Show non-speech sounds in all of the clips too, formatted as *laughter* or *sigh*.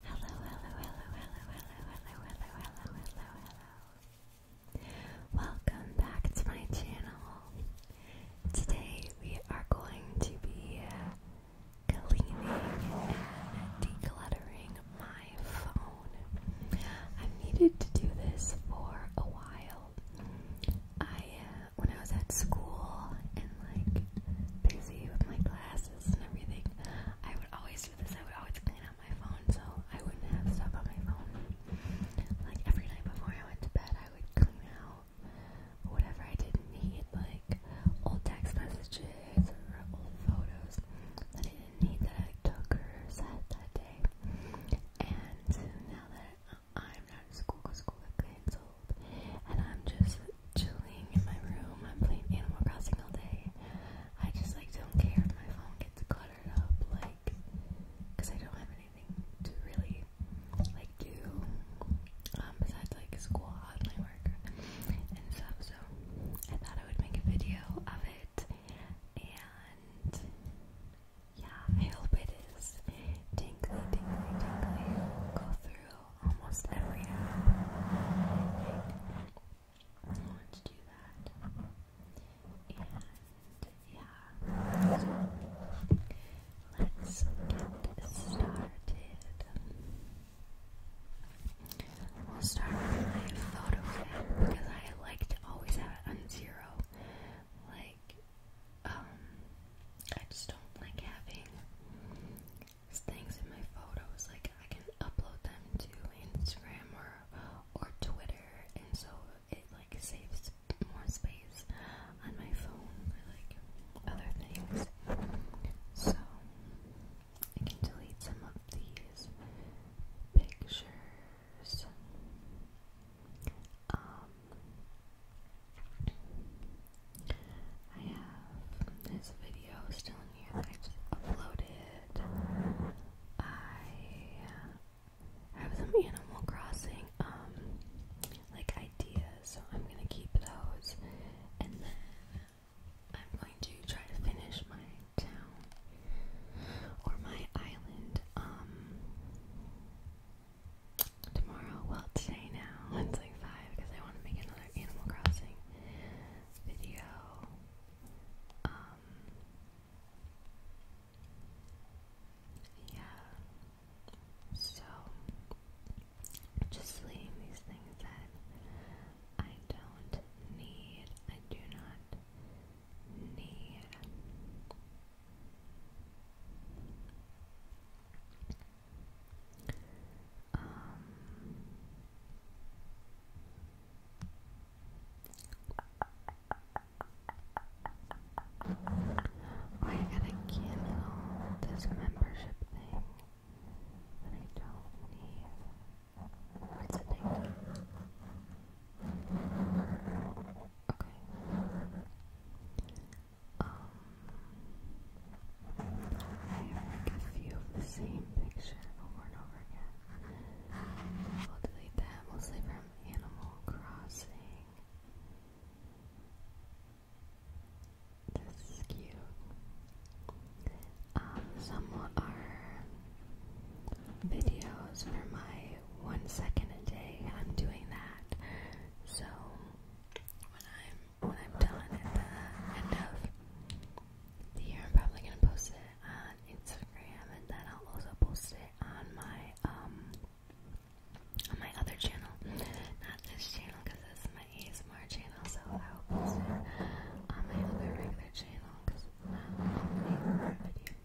Hello, hello, hello, hello, hello, hello, hello, hello, hello, Welcome back to my channel. Today we are going to be cleaning and decluttering my phone. i needed to do this for a while. I, uh, when I was at school and like busy with my class glasses and everything. I would always do this. I would always clean out my phone so I wouldn't have stuff on my phone. Like every night before I went to bed, I would clean out whatever I didn't need, like old text messages or old photos that I didn't need that I took or said that day. And now that I'm not in school because school got canceled, and I'm just chilling in my room. I'm playing Animal Crossing all day. I just like don't care if my phone gets cluttered up, like, cause I don't have anything to really like do um, besides like school and like work and stuff. So I thought I would make a video of it, and yeah, I hope it is tingly, tingly, tingly. Go through almost every app. want to do that. And yeah, let's get started. We'll start with my photo because I like to always have it zero. Like, um, I just don't like having things in my photos, like I can upload them to Instagram or or Twitter, and so it like saves more space on my phone for like other things. So I can delete some of these pictures. Um, I have this video still in here that I just uploaded. I have some Animal Crossing um like ideas, so I'm gonna keep those, and then I'm going to try to finish my town or my island um tomorrow. Well, today now *laughs* it's like five because I want to make another Animal Crossing video. Um, yeah. So, just leaving these things that I don't need. I do not need. Um, I gotta cancel this membership thing that I don't need. What's Okay. Um, make a few of the same picture over and over again. We'll delete that mostly from Animal Crossing. This is cute. Um, some are videos for my one second a day. I'm doing that. So when I'm when I'm done at the end of the year, I'm probably gonna post it on Instagram, and then I'll also post it on my um, on my other channel, not this channel because this is my ASMR channel, so I'll post it on my other regular channel because I'll make video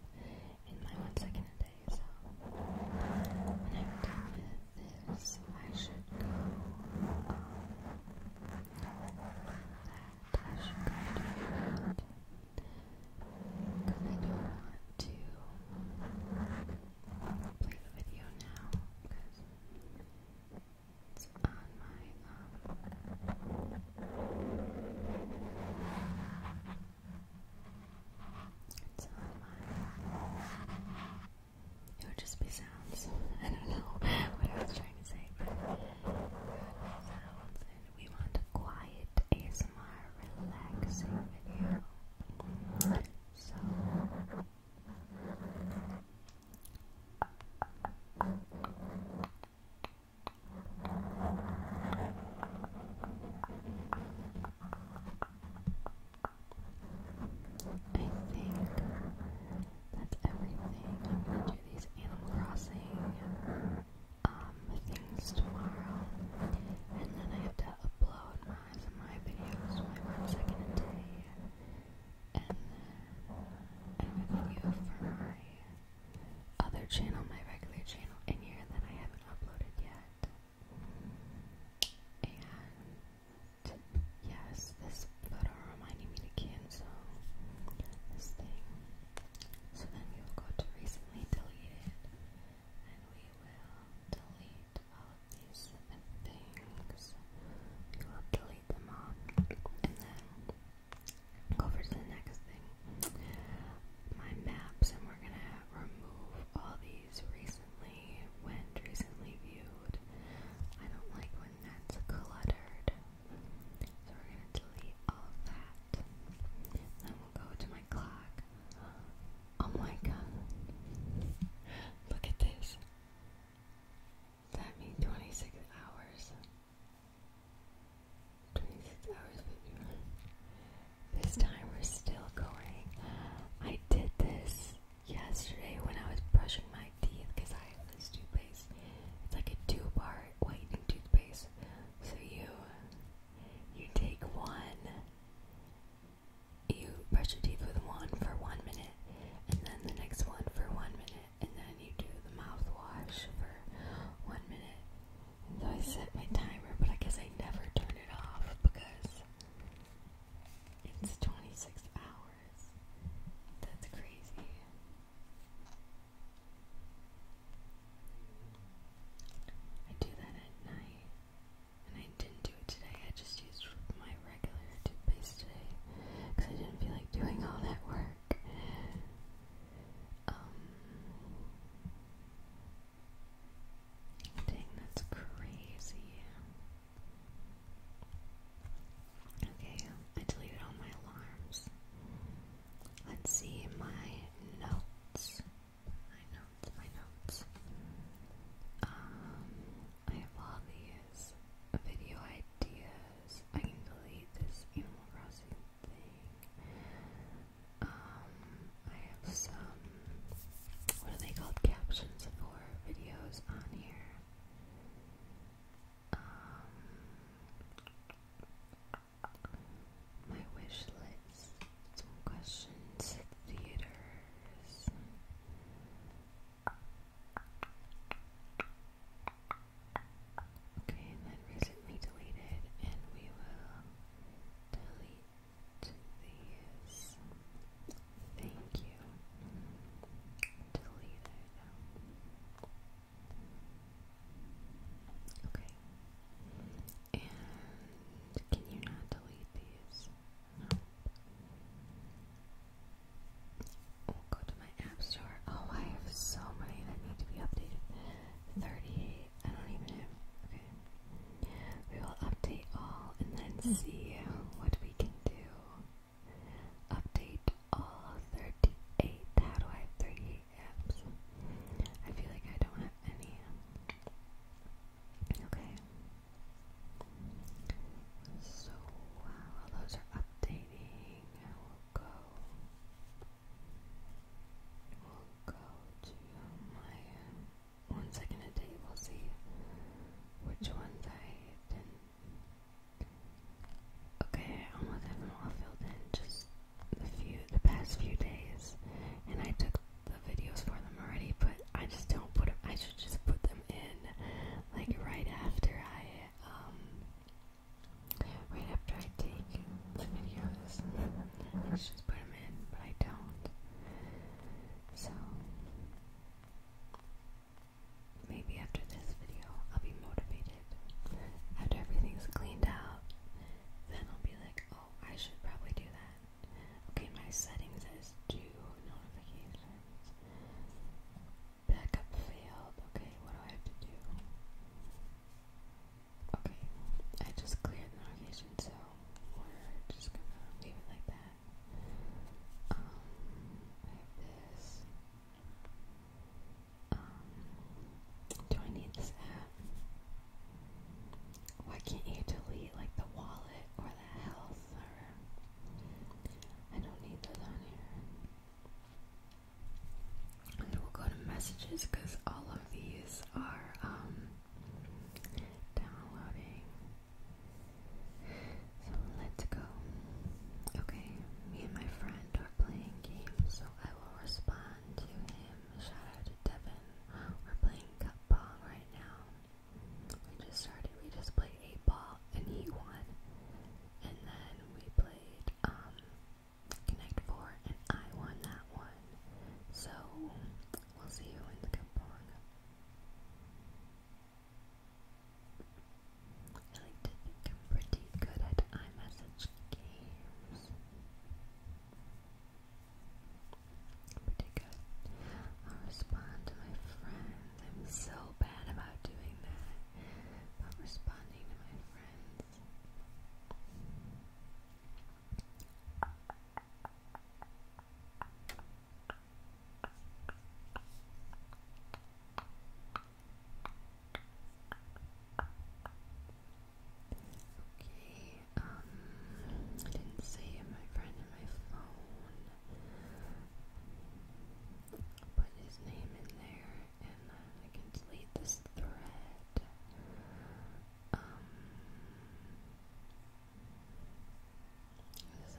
in my one second a day. So when I'm done with this, I should go. Um, that I should graduate. Because I don't want to play the video now because it's on my um it's on my it would just be sounds. I don't know *laughs* what I was trying to say, sounds. And we want a quiet ASMR, relaxing video. So. I think that's everything. I'm gonna do these Animal Crossing um things tomorrow, and then I have to upload my my videos, my one second day, and then I have a video for my other channel, my regular channel, in here that I haven't uploaded yet. And yes, this photo reminded me to cancel this thing. So then we will go to recently deleted, and we will delete all of these things. We will delete them all, and then go over to the next thing. My maps, and we're gonna remove all these recent recently went recently viewed. I don't like when that's cluttered. So we're gonna delete all that. Then we'll go to my clock. Oh my god. Look at this. That means 26 hours. 26 hours, This time we're still going. I did this yesterday when I was brushing my teeth because I have this toothpaste. It's like a two-part whitening toothpaste. So you you take one, you brush your teeth with one for one minute, and then the next one for one minute, and then you do the mouthwash for one minute. And so I set my timer, but I guess I never turn it off because it's 26 hours. That's crazy. I do that at night. And I didn't do it today. I just used my regular toothpaste today because I didn't feel like doing all that work. Um, dang, that's crazy. Okay, I deleted all my alarms. Let's see my notes. My notes, my notes. Um, I have all these video ideas. I can delete this Animal Crossing thing. Um, I have some, what are they called? Captions for videos on here. Um, my wish list. Some questions. Theaters. Okay, and then recently deleted, and we will delete these. Thank you. Delete it Okay. And can you not delete these? go to my app store. Oh, I have so many that need to be updated. 38. I don't even Okay. We will update all and then see what we can do. Update all 38. How do I 38 apps? I feel like I don't have any. Okay. So wow, those are updating. I will go. We'll go to my one second a We'll see. Which ones I didn't. Okay, I almost haven't all filled in. Just the few, the past few days, and I took the videos for them already. But I just don't put them. I should just put them in, like right after I um, right after I take the videos. I should just put them in, but I don't. So maybe after this video I'll be motivated. After everything's cleaned out, then I'll be like, oh, I should probably do that. Okay, my settings is do notifications. Backup failed. Okay, what do I have to do? Okay, I just cleared the notification, so we're just gonna leave it like that. Um, um, do I need this app? Why can't you delete like the wallet or the health I don't need those on here. we'll go to messages because all of these are um, downloading so let's go. Okay, me and my friend are playing games, so I will respond to him. Shout out to Devin. We're playing cup pong right now. We just started, we just played 8 ball and he won. And then we played um Connect 4 and I won that one. So we'll see you in the cup pong. I like to think I'm pretty good at iMessage games. Pretty good. i respond to my friends. I'm so bad about doing that. About responding to my friends. Okay, um, I didn't see my friend in my phone. Put his name in there and I can delete this thread. Um,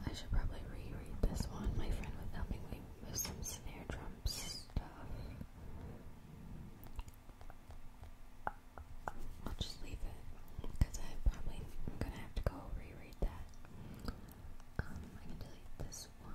I should probably reread this one. My friend was helping me with some snare drum stuff. I'll just leave it because I probably gonna have to go reread that. Um, I can delete this one.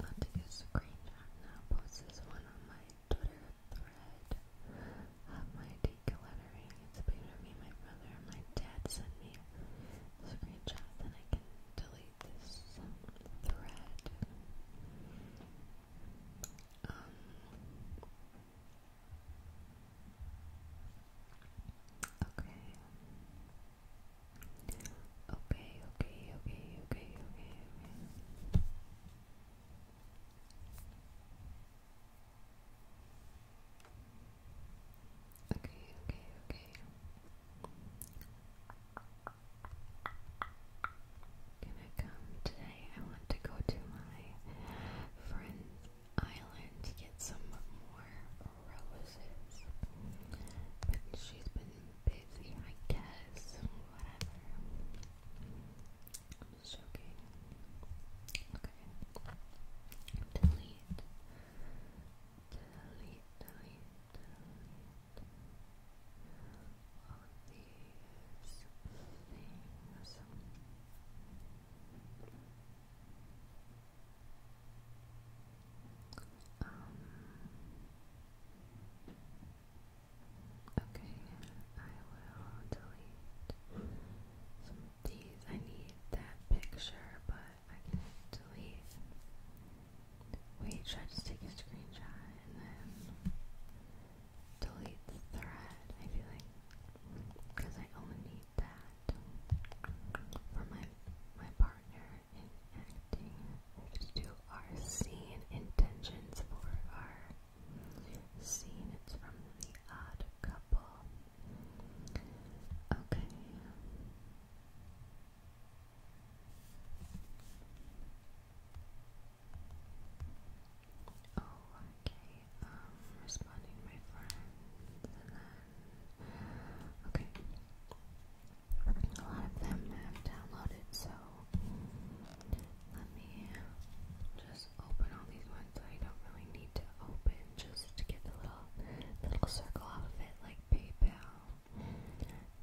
I'll take a screenshot and I'll post this one on my Twitter thread of my decluttering. It's a picture of me, my brother, and my dad sent me a screenshot, then I can delete this um, thread. Um, okay. Okay, okay, okay, okay, okay, okay. Okay, okay, okay. Can I come today? I want to go to my friend's island to get some more roses. But she's been busy, I guess. Whatever. just joking. Okay. Delete. Delete, delete, delete. All Okay, I will delete some of these. I need that picture, but I can delete. Wait, should I just take a screenshot and then delete the thread? I feel like because I only need that for my my partner in acting to our scene intentions for our scene. It's from the odd couple. Okay. Oh, okay. Um, responding to my friend, and then okay a lot of them have downloaded, so let me just open all these ones that I don't really need to open just to get the little little circle off of it, like PayPal,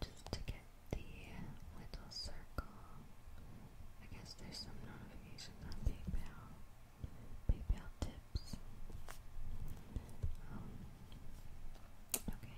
just to get the little circle. I guess there's some notifications on PayPal, PayPal tips. Um, okay,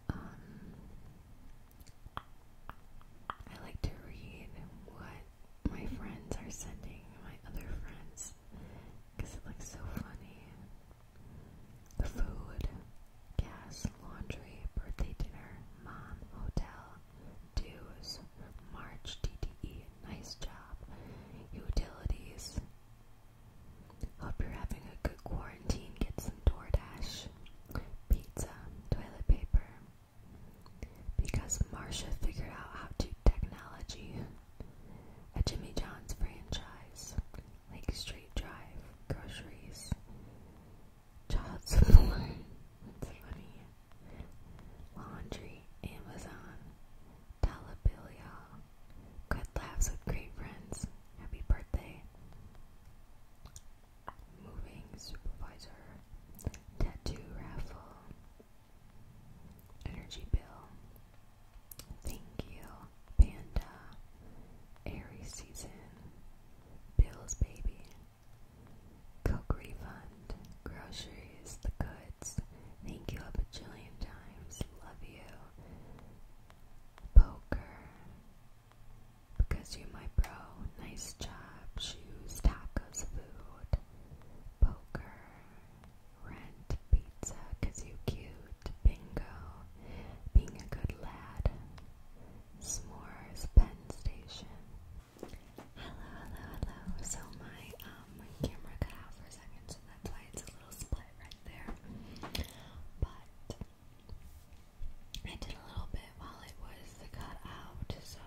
Um, I like to read what my friends are sending my other friends because it looks so funny. The food, gas, laundry, birthday dinner, mom, hotel, dues, March, DDE, nice job, utilities, Hope you're having a good quarantine. Get some DoorDash, pizza, toilet paper. Because Marsha figured out how to technology a Jimmy John's franchise, Lake Street Drive, groceries, child *laughs* support, that's funny, laundry, Amazon, Talabilia, good laughs with great friends, Happy birthday. Moving supervisor. Tattoo raffle. Energy bill. Thank you. Panda. Airy season. Bill's baby. Coke refund. Groceries. The goods. Thank you a bajillion times. Love you. Poker. Because you my bro, nice job, shoes, tacos, food, poker, rent, pizza, cause you cute, bingo, being a good lad, s'mores, pen station. Hello, hello, hello. So my um camera cut out for a second, so that's why it's a little split right there. But I did a little bit while it was cut out, so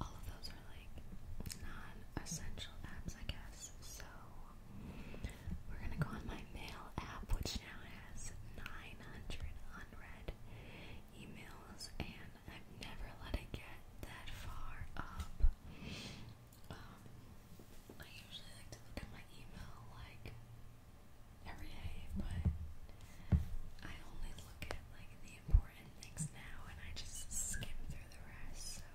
all of those are like non-essential apps, I guess. So we're gonna go on my mail app, which now has 900 unread emails, and I've never let it get that far up. Um, I usually like to look at my email like every day, but I only look at like the important things now and I just skip through the rest. So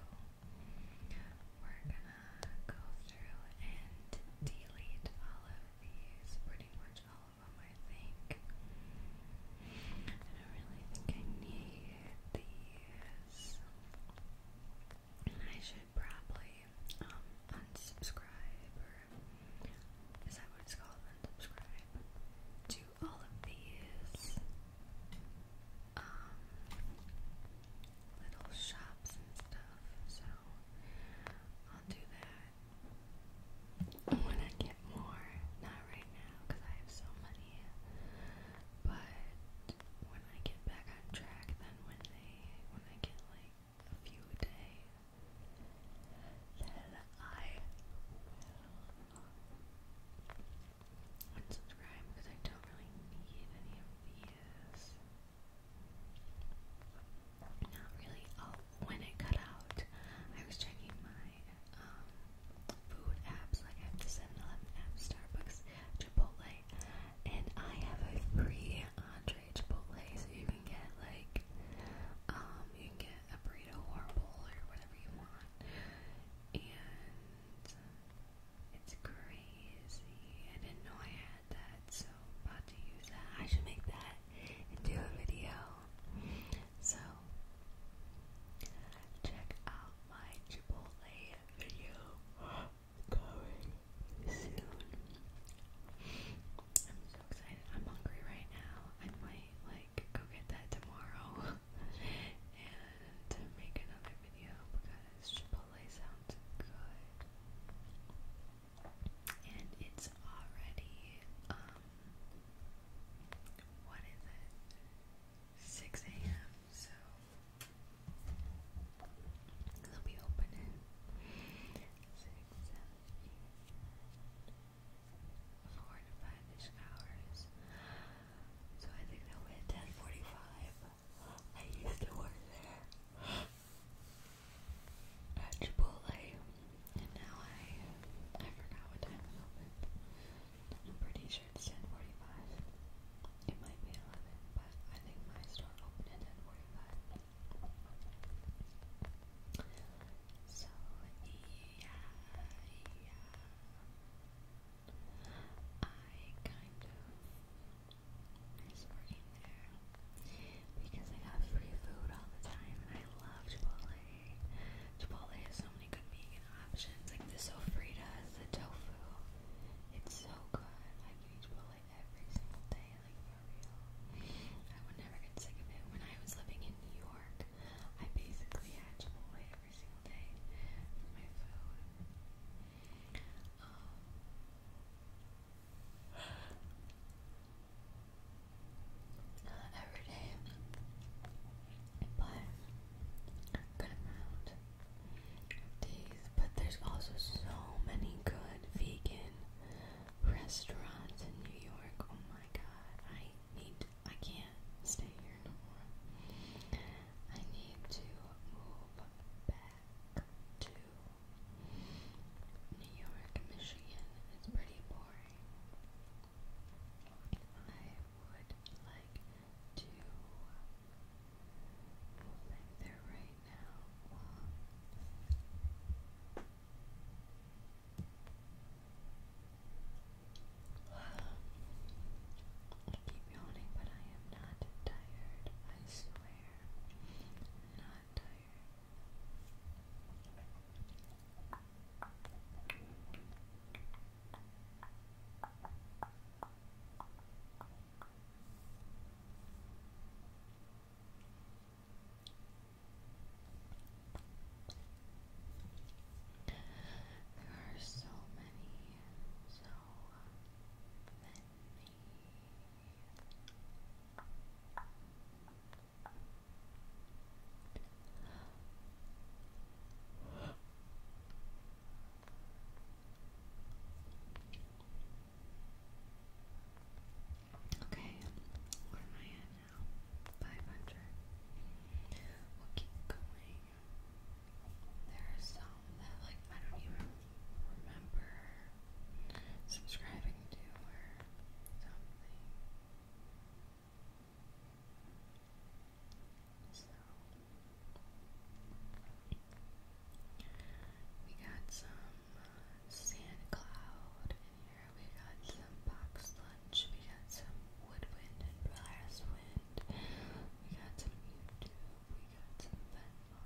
we're gonna go through and delete all of these, pretty much all of them, I think. I don't really think I need these. I should probably um, unsubscribe or is that what it's called? Unsubscribe to all of these um, little shops and stuff. So I'll do that when I get more. Not right now because I have so many, but when I get back on track, then when they when I get like a few a day, then I unsubscribe because I don't really need any of these. Not really. Oh, when it cut out, I was checking my um, food apps. Like I have the 7 app, Starbucks, Chipotle and I have a free entree Chipotle, so you can get like, um, you can get a burrito or bowl or whatever you want, and it's crazy. I didn't know I had that, so i about to use that. I should make that and do a video. So check out my Chipotle video going soon. I'm so excited. I'm hungry right now. I might like go get that tomorrow *laughs* and make another video because Chipotle sounds good. And it's already um what is it? 6 a.m. So let me open it. Six, seven, eight, four to five-ish hours. So I think that we at ten forty-five. I used to work there at Chipotle, and now I I forgot what time it opened. I'm pretty sure it's ten forty-five. It might be 11, but I think my store opened at 45. So, yeah, yeah. I kind of miss working there because I got free food all the time and I love Chipotle. Chipotle has so many good vegan options, like the sofritas, the tofu. It's so good it every single day, like for real. I would never get sick of it. When I was living in New York, I basically had Chipotle every single day for my food. Um, *sighs* every day, but good amount but there's also so many good vegan restaurants in New York. Oh my god, I need I can't stay here no more. I need to move back to New York, Michigan. It's pretty boring. I would like to I keep yawning, but I am not tired. I swear, not tired. There are so many, so many. Okay, where am I at now? 500. We'll keep going. There are some that, like, I don't even remember subscribing to or something. So, we got some uh, sand cloud in here. We got some box lunch. We got some woodwind and blast wind. We got some YouTube. We got some Venmo.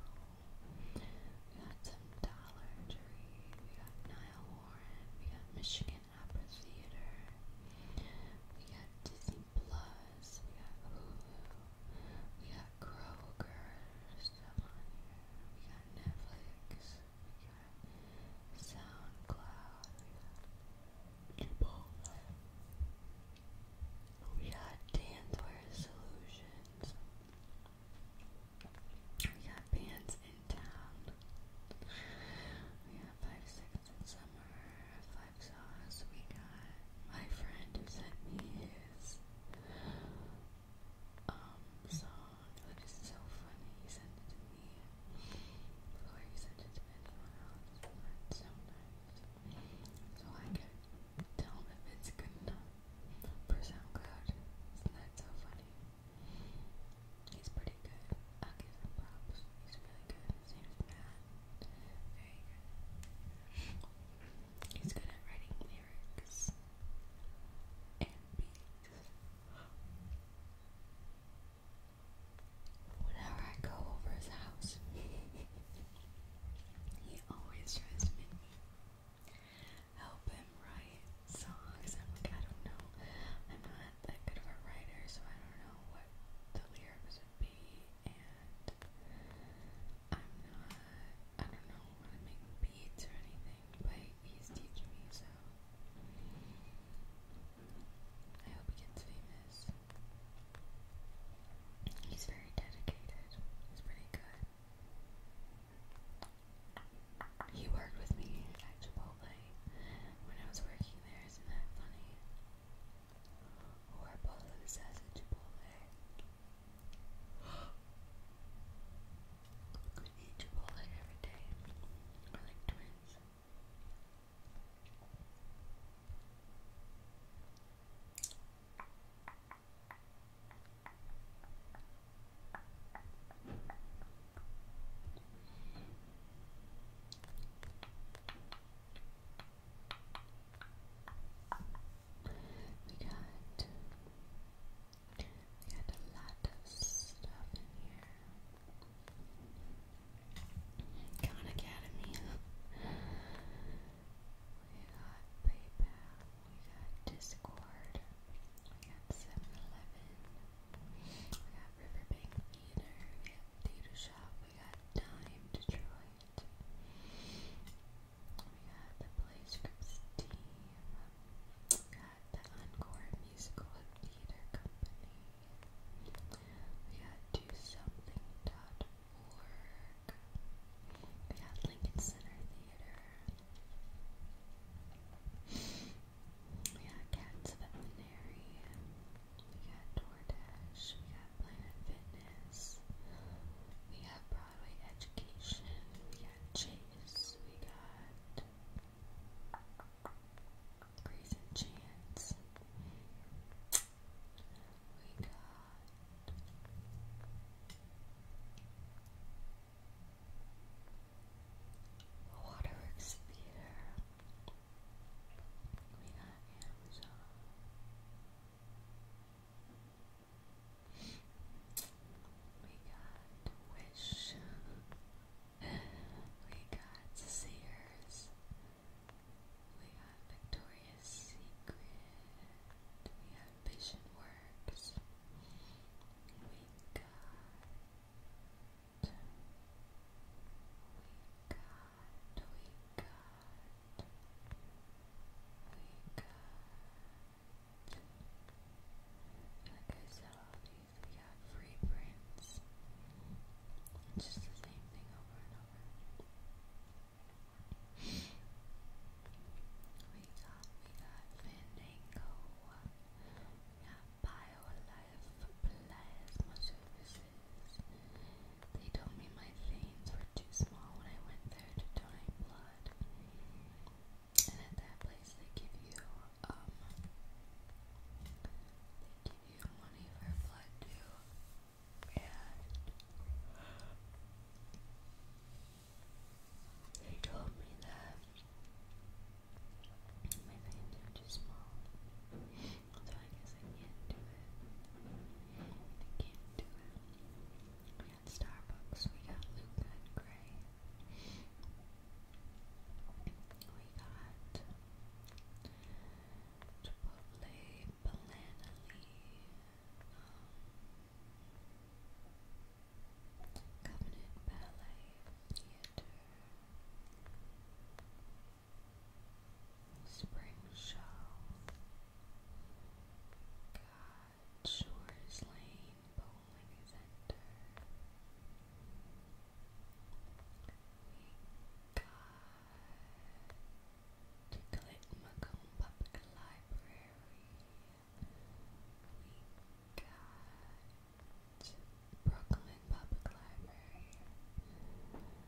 We got some Dollar Tree. We got Niall Warren. We got Michigan Opera Theater. We got Disney we got Hulu, we got Kroger, we got Netflix, we got SoundCloud, we got Ebola, we got Dancewear Solutions, we got Bands in Town, we got 5, 6 in Summer, hot sauce we got. My friend sent me his um song. Like so funny. He sent it to me before he sent it to anyone else. It's so I can tell him if it's good enough for SoundCloud. Isn't that so funny? He's pretty good. i give him props. He's really good. His name is Very good. He's good at writing lyrics and beats. Whenever I go over his house, he always tries to make me write songs. I'm like, I don't know. I'm not that good of a writer, so I don't know what the lyrics would be, not, I don't know how to make beads or anything, but he's teaching me, so I hope he gets famous. He's very dedicated. He's pretty good. He worked with me at Chipotle when I was working there. Isn't that funny? Or a bowl of assassin chipotle. We could eat chipotle every day. We're like twins. We got we got a lot of stuff in here. Khan Academy. we got PayPal. We got Discord. We got 7-Eleven. We got Riverbank Theater. We got Theater Shop. We got Dime Detroit. We got the play team. We got the Encore Musical Theater Company. We got do something.org. We got Lincoln Center Theater. We got Cats Veterinary. We got We got Planet Fitness, we have Broadway Education, we got Chase, we got Grace and Chance, we got. Waterworks Theater. We got Amazon. We got Wish. we got Sears. We got Victoria's Secret. We got Vision Works. We got. We got we got, we got. Like I said, all these we got free prints. just the same thing over and over. We got, we got Fandango. We got BioLife they told me my veins were too small when I went there to donate blood. And at that place they give you um they give you money for blood too. And they told me that my veins are too small. So I guess I can't do it. I can't do it. We got Starbucks, we got Luca Gray. We got Chipotle, Balanali, Covenant Ballet Theater. Spring Show, Lane Bowling Center. We got Ticklet Macomb Public Library. We got Brooklyn Public Library.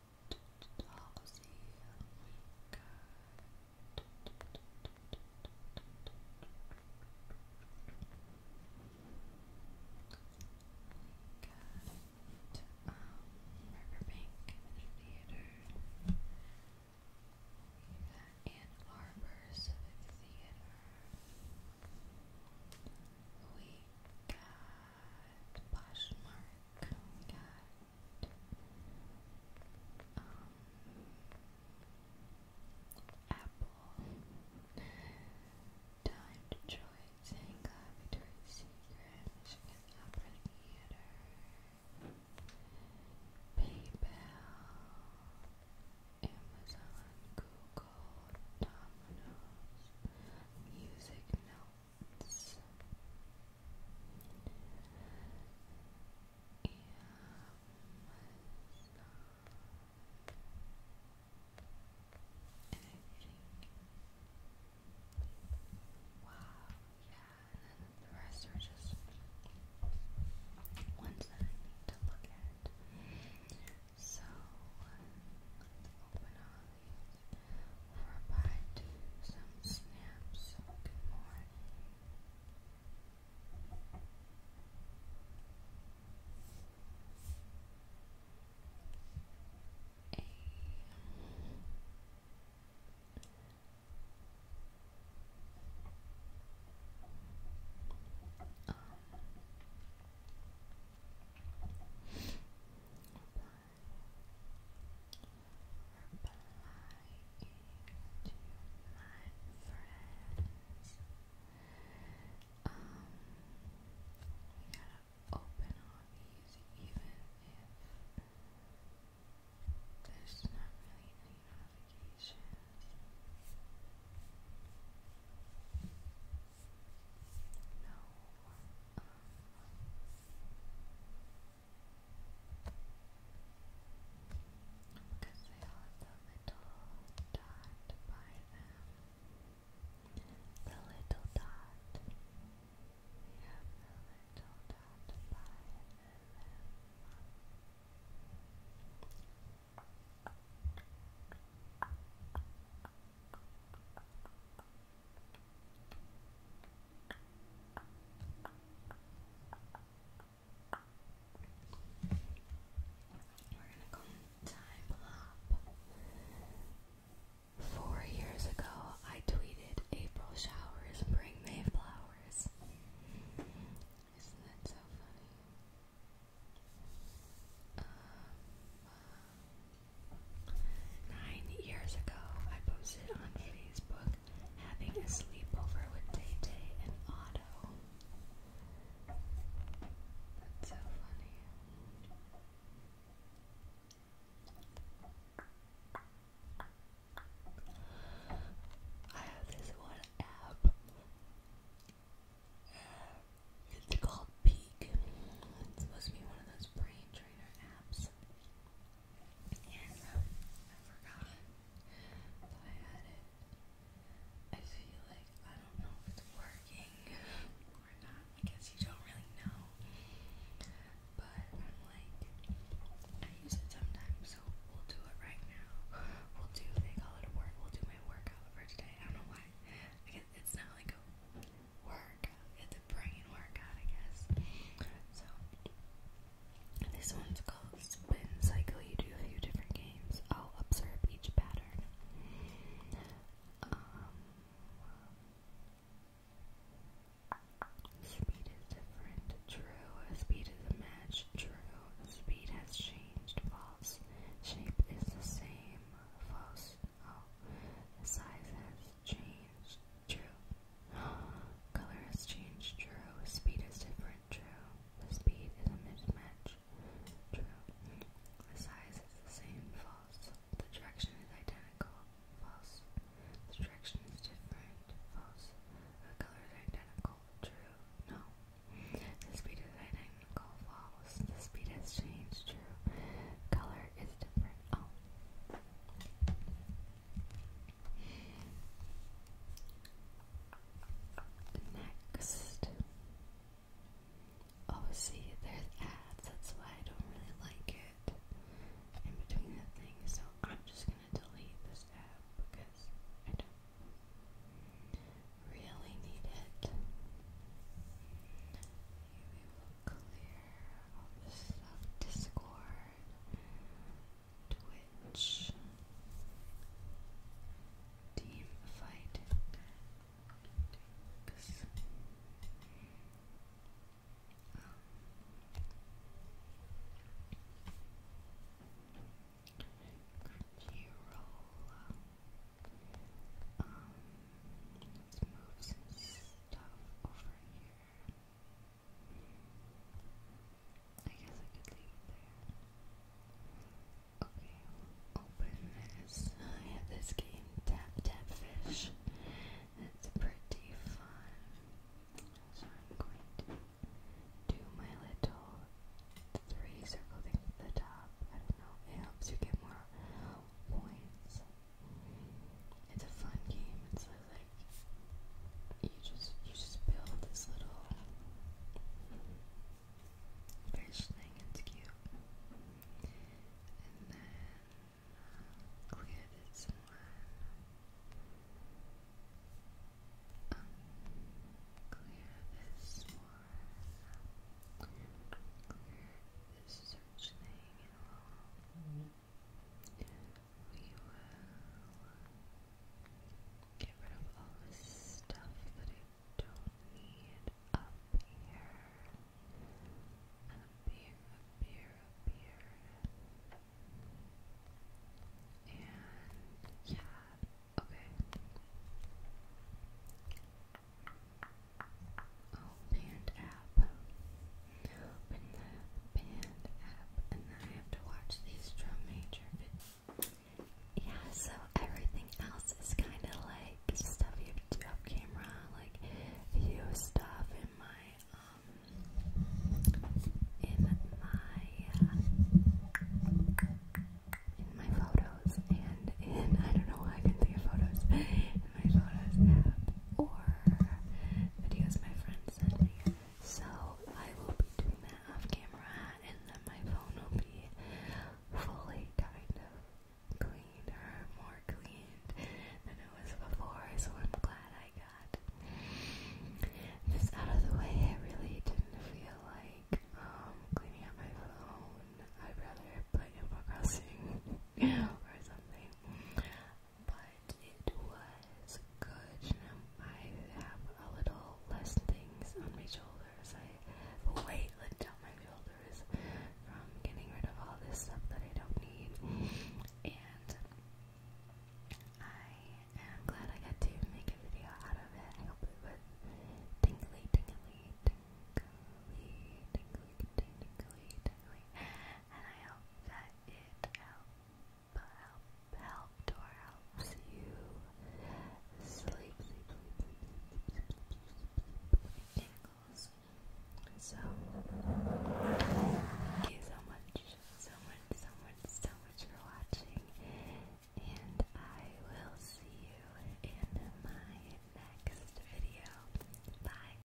Theater. We got Ann Arbor Civic Theater. We got Poshmark. We got apple. Time Detroit, Zanga, Secret, Opera Theater, PayPal, Amazon, Google, Domino's, Music Notes, Wow, yeah, and then the rest are just ones that I need to look at. So, um, let's open all these or bite some snaps. Good morning. A replying to my friends. Um, we gotta open all these, even if there's not really any notifications. No, because they all have the little dot by them. The little dot. They have the little dot by them. Four years ago, I tweeted April showers bring Mayflowers. Isn't that so funny? Um, uh, nine years ago, I posted on Having a Sleepover with Tay Tay and Otto. That's so funny. I have this one app. It's called Peak. It's supposed to be one of those brain trainer apps. And I forgot that I had it. I feel like I don't know if it's working or not. I guess you don't really know. But I'm like, I use it sometimes, so we'll do it right now. We'll do, they call it work, we'll do my workout for today. I don't know why. I guess it's not like work it's a brain workout, I guess. So, this one's called Spin Cycle. You do a few different games. I'll observe each pattern. Um, speed is different. True. Speed is a match. True. Speed has changed. False. Shape is the same. False. Oh. Size has Change True. *gasps* Color has changed. True. Speed is different. True. The speed is a mismatch. True. The size is the same. False. The direction is identical. False. The direction is different. False. The color is identical. True. No. The speed is identical. False. The speed has changed. True. Color is different. Oh. Next. Oh, see, there's ads. That's why I don't really like it in between the things. So I'm just going to delete this ad because I don't really need it clear all stuff. Discord, Twitch, Team Fight, um, let's move some stuff over here. I guess I could leave it there. Okay, open this. I have this game, Tap Tap Fish. It's pretty fun. So I'm going to do my little three circle thing at the top. I don't know, it helps you get more points. It's a fun game. It's like you just you just build this little fish thing. It's cute, and then uh, um, uh, clear this one. Um, clear this one. this search thing we will get rid of all this stuff that I don't need up here. Up here, up here, up here. And yeah, okay. Oh, land app. I have to watch these drum major Yeah, so everything else is kind of like stuff you do off camera, like view stuff in my, um, in my, uh, in my photos and in, *laughs* I don't know I can think of photos, my photos app or videos my friends send me. So I will be doing that off camera and then my phone will be fully kind of cleaned more cleaned than it was before, so I'm glad I got this out of the way. I really didn't feel like um, cleaning up my phone. I'd rather play Animal Crossing *laughs* or something but it was good. I have a little less things on my shoulders. I have weight lift down my shoulders from getting rid of all this stuff that I don't need. And I am glad I got to make a video out of it. I tingly, tingly, tingly, tingly, tingly, tingly, tingly and I hope that it help, help, helped or helps you sleep, sleep, sleep, sleep, sleep, sleep, sleep tingles. So, thank you so much, so much, so much, so much for watching, and I will see you in my next video. Bye.